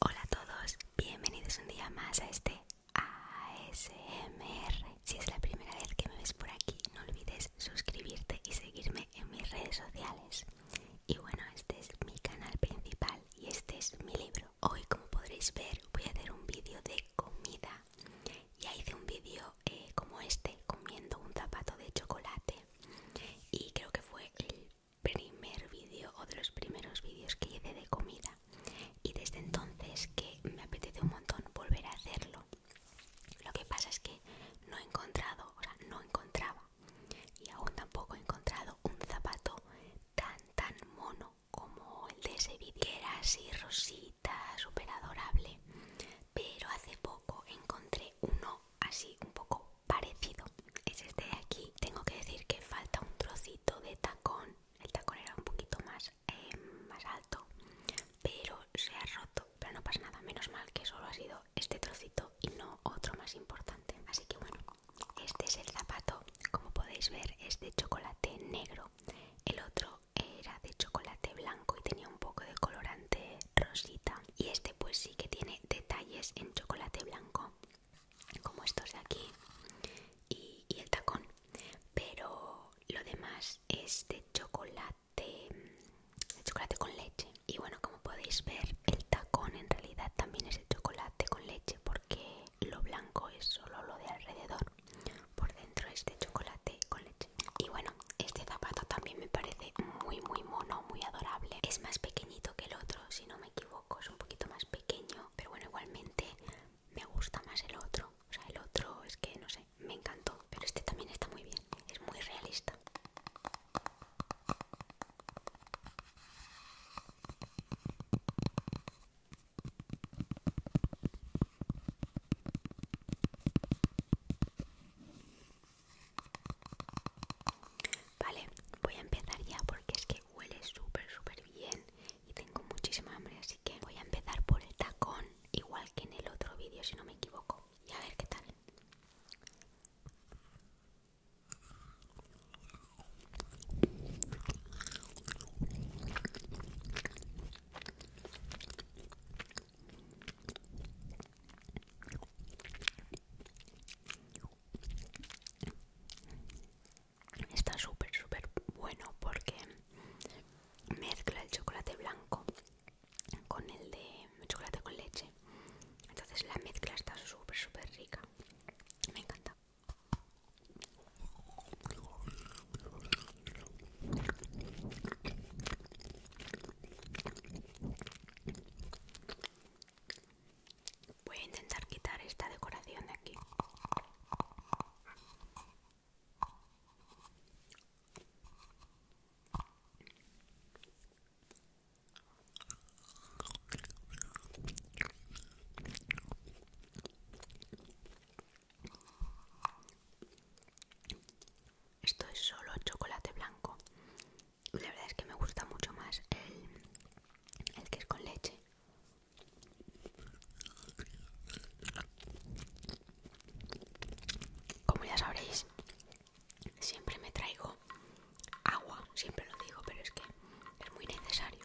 Hola a todos, bienvenidos un día más a este ASMR. Si es la primera vez que me ves por aquí, no olvides suscribirte y seguirme en mis redes sociales. Y bueno, este es mi canal principal y este es mi libro. Hoy, como podréis ver, voy a hacer un vídeo de comida ya hice un vídeo eh, como este comiendo un zapato de chocolate y creo que fue el primer vídeo o de los primeros vídeos que hice de comida y desde entonces que me apetece un montón volver a hacerlo lo que pasa es que no he encontrado o sea no encontraba y aún tampoco he encontrado un zapato tan tan mono como el de ese vídeo que era así rosita super adorable pero hace poco encontré uno así un poco parecido es este de aquí tengo que decir que falta un trocito de tacón el tacón era un poquito más eh, más alto pero se ha roto pero no pasa nada menos mal que solo ha sido este trocito y no otro más importante así que bueno este es el zapato como podéis ver es de chocolate negro el otro era de chocolate blanco y tenía un poco de colorante rosita y este pues sí que tiene detalles en chocolate blanco como estos de aquí y, el tacón pero lo demás es de chocolate de chocolate con leche y bueno como podéis ver el tacón en realidad también es de chocolate con leche porque lo blanco es solo lo de alrededor por dentro es de chocolate con leche y bueno, este zapato también me parece muy muy mono, muy adorable. Es más pequeñito que el otro, si no me equivoco, es un poquito más pequeño, pero bueno, igualmente me gusta más el otro. O sea, el otro es que no sé, me encantó, pero este también está muy bien, es muy realista. Vale, voy a empezar ya porque es que huele súper, súper bien y tengo muchísima hambre, así que voy a empezar por el tacón, igual que en el otro vídeo si no me equivoco. Y a ver qué tal. Está súper, súper bueno porque mezcla el chocolate blanco con el de chocolate con leche. Entonces la mezcla está súper, súper rica. Me encanta. Voy a intentar quitar esta decoración de aquí. Esto es solo chocolate blanco. La verdad es que me gusta mucho más el, el que es con leche. Como ya sabréis, siempre me traigo agua, siempre lo digo, pero es que es muy necesario.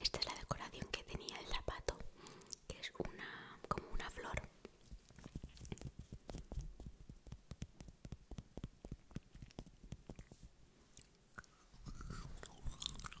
Esta es la decoración que tenía el zapato, que es una como una flor.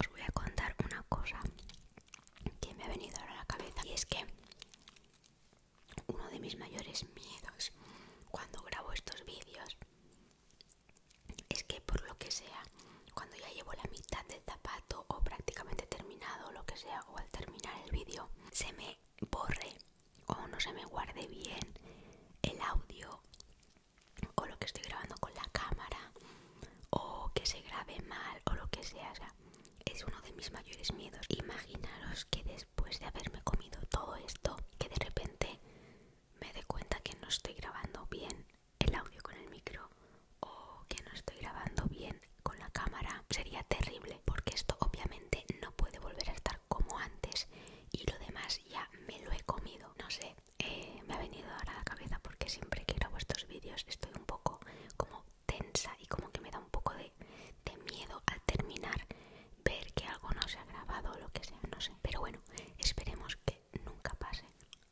Os voy a contar una cosa que me ha venido a la cabeza y es que uno de mis mayores miedos cuando grabo estos vídeos es que por lo que sea cuando ya llevo la mitad del zapato o prácticamente terminado lo que sea o al terminar el vídeo se me borre o no se me guarde bien el audio o lo que estoy grabando con la cámara o que se grabe mal o lo que sea, es uno de mis mayores miedos imaginaros que después de haberme comido todo esto que de repente me dé cuenta que no estoy grabando bien el audio con el micro o que no estoy grabando bien con la cámara, sería terrible porque esto obviamente no puede volver a estar como antes y lo demás ya me lo he comido. No sé, eh, me ha venido ahora a la cabeza porque siempre que grabo estos vídeos estoy un poco como tensa y como que me da un poco de, de miedo al terminar ver que algo no se ha grabado o lo que sea, no sé. Pero bueno, esperemos que nunca pase.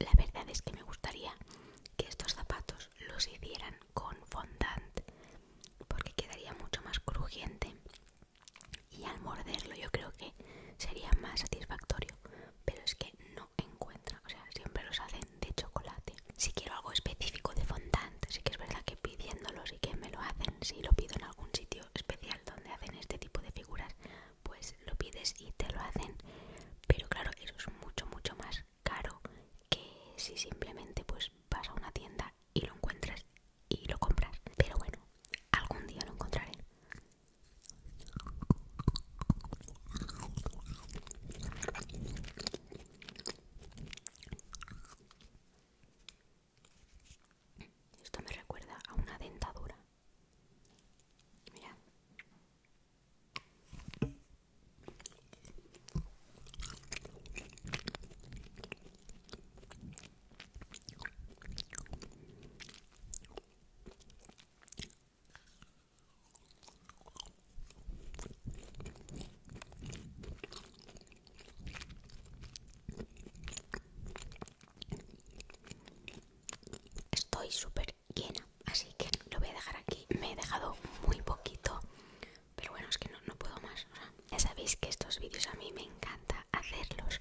La verdad es que me gustaría que estos zapatos los hicieran con fondant porque quedaría mucho más crujiente y al morderlo yo creo que sería más satisfactorio pero es que no encuentra o sea siempre los hacen de chocolate si quiero algo específico de fondant sí que es verdad que pidiéndolos y que me lo hacen si lo pido en algún sitio especial donde hacen este tipo de figuras pues lo pides y te lo hacen pero claro eso es mucho mucho más caro que si simplemente pues vas a una tienda y lo encuentras y lo comprar, Pero bueno, algún día lo encontraré. Esto me recuerda a una dentadura. Mira. Estoy súper llena, así que lo voy a dejar aquí. Me he dejado muy poquito, pero bueno, es que no, no puedo más ya sabéis que estos vídeos a mí me encanta hacerlos,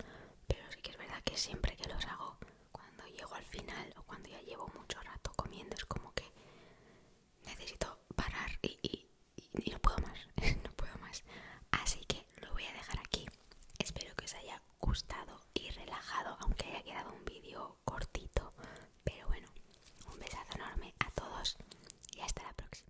pero sí que es verdad que siempre que los hago, cuando llego al final o cuando ya llevo mucho rato comiendo, es como que necesito parar y, y no puedo más, no puedo más. Así que lo voy a dejar aquí. Espero que os haya gustado y relajado, aunque haya quedado un vídeo cortito. Pero bueno, un besazo enorme a todos y hasta la próxima.